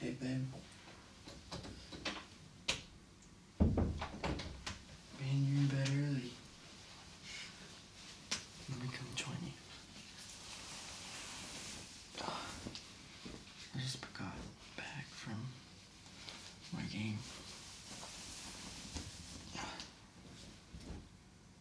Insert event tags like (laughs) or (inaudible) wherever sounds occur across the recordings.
Hey, babe. Man, you're in bed early. Let me come join you. I just got back from my game.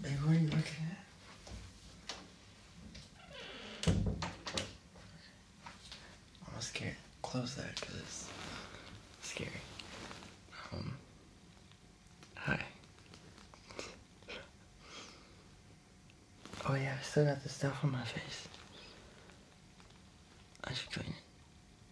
Babe, what are you looking at? I'm scared. Close that because it's scary. Um, hi. Oh yeah, I still got the stuff on my face. I should clean it.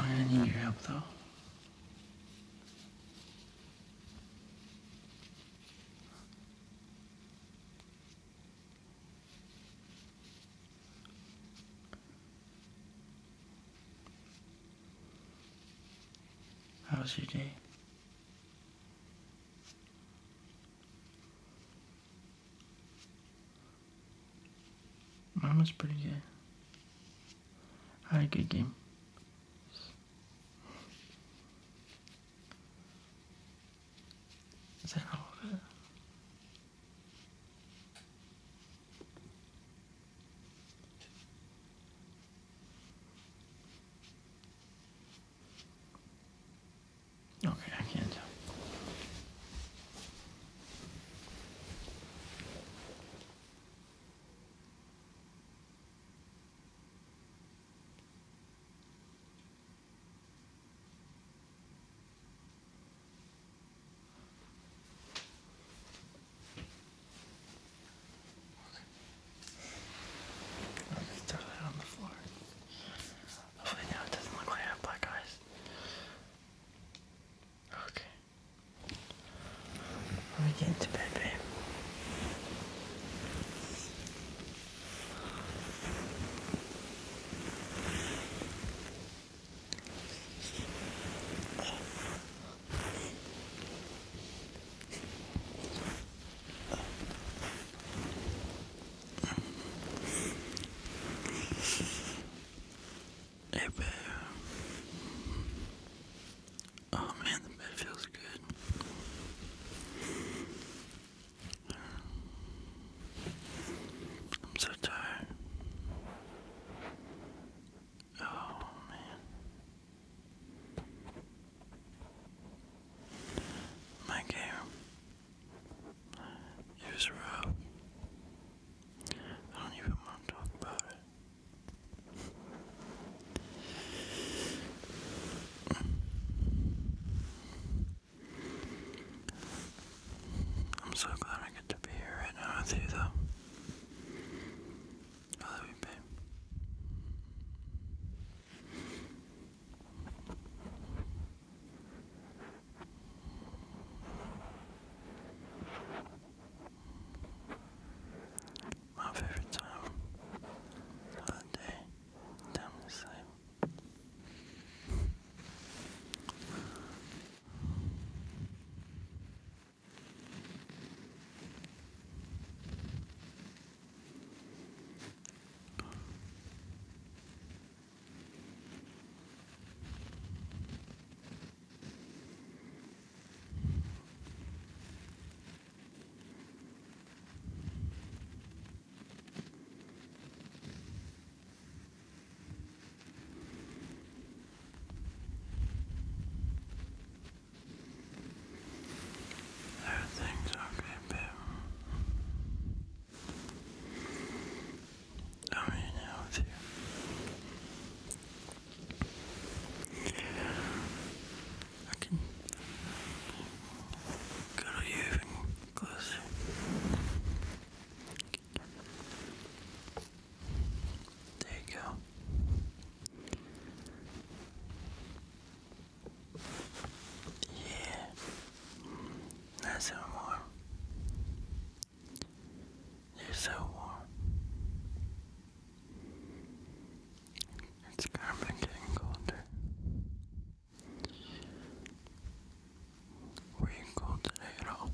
I'm going need your help though. How was your day? Mine was pretty good. Had a good game. Is that all Okay, I can't tell. I'll throw that on the floor. Hopefully now it doesn't look like I have black eyes. Okay. Let me get to bed, babe. If, uh, oh man, the bed feels good. I'm so tired. Oh man. My game. It was I don't even want to talk about it. I'm so glad I get to be here right now with you, though. love you, babe. My favorite time of the day, time to sleep. Everything's okay, babe. I'm here with you. I can go to you even closer. There you go. Yeah, nice and warm. You're so warm. It's carbon getting colder. Were you cold today at all?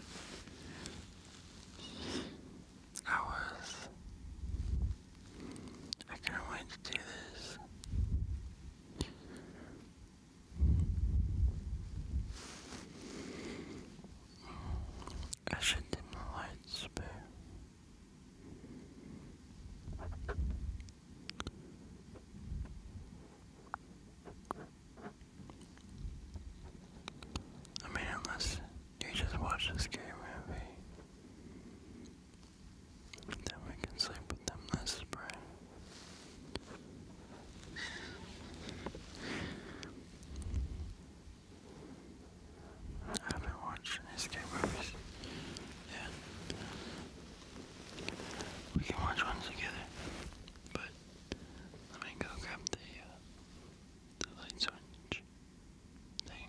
(laughs) I was. I couldn't wait to do this. I should dim the lights, but I mean, unless you just watch the scary then we can sleep with them. That's the I've been watching escape movies. Yeah. We can watch one together. But let me go grab the uh, the light switch thing.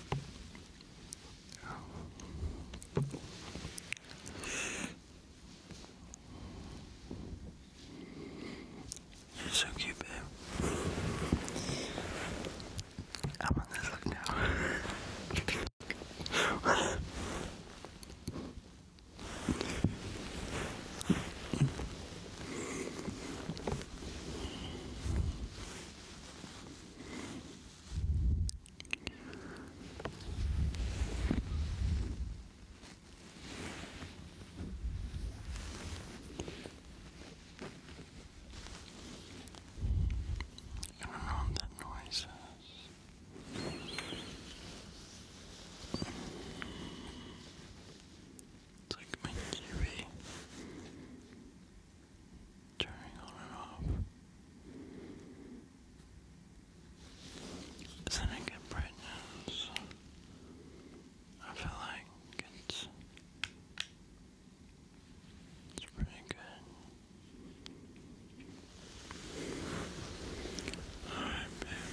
You're so cute, babe. I'm on this look now. I don't know what that noise is. It's like my TV turning on and off. Then I get brightness. I feel like it's it's pretty good. Alright, babe.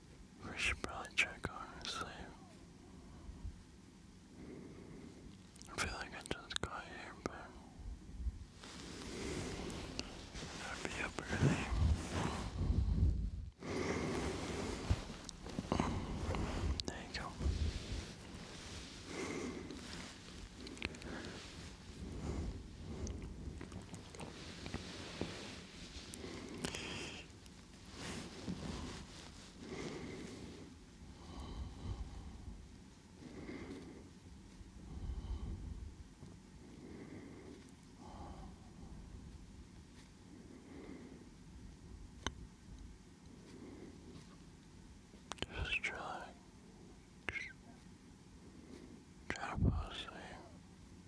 We should probably check honestly. I feel like I just got here, but I'd be up early. There you go. Just trying, trying to fall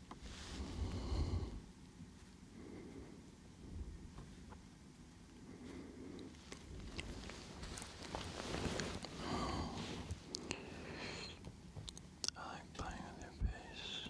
I like playing with your face.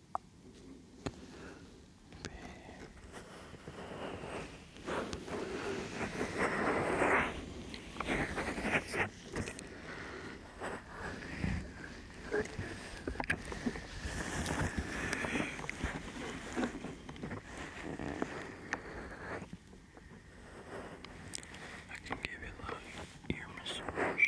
I can give you a little ear massage.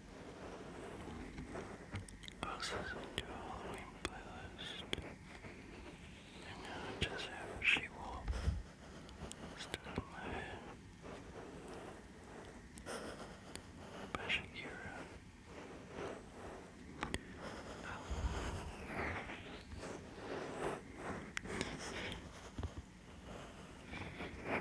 This is a Halloween playlist. And now just have she wolf stuck in my head. By Shakira. Oh.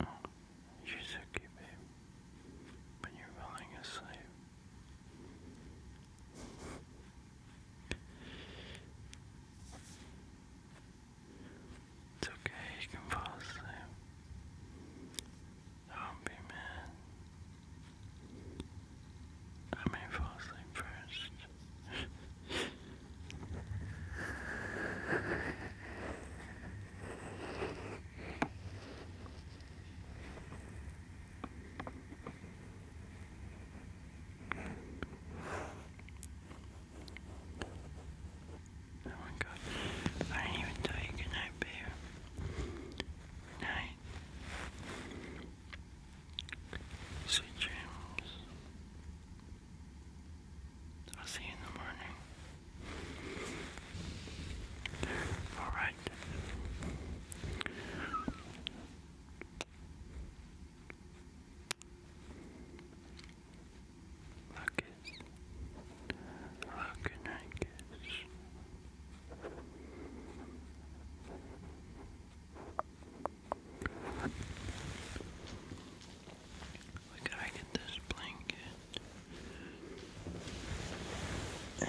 Oh, you're so cute, you're falling asleep. It's okay, you can fall asleep. Don't be mad. I may fall asleep first. Oh my god, I didn't even tell you goodnight, babe. Night. Sweet dreams. I'll see you in the morning. Alright. Look it. Look it, where can I get this blanket? There.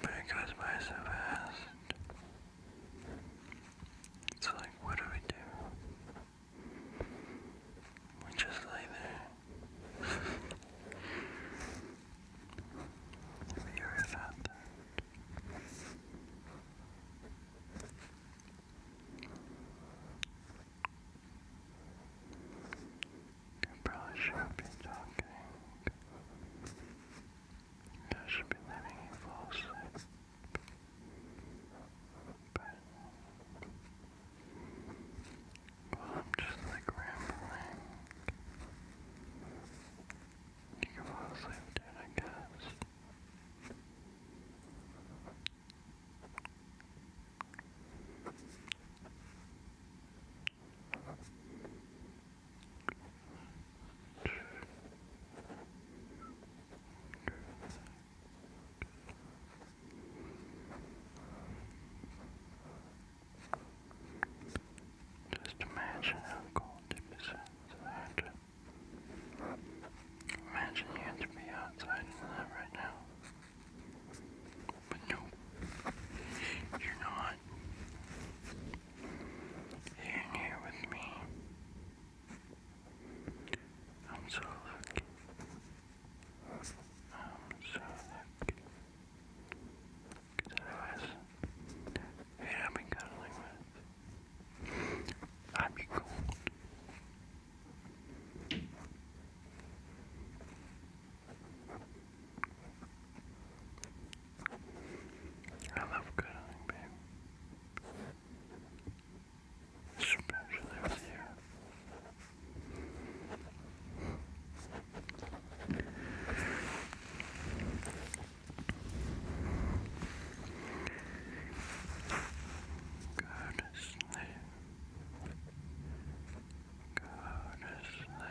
But it goes by so fast. It's like, what do we do? We just lay there. Have you ever thought that? You probably should be talking. I should be letting you fall asleep. But, I'm just like rambling. You fall asleep, dude, I guess. Just imagine how cold it is outside. Imagine you had to be outside right now. But no, you're not. Here here with me. I'm so lucky. I'm so lucky. Because otherwise, who I've been cuddling with, I'd be cold. I love cuddling, babe. Especially you. Go to sleep. Go to sleep.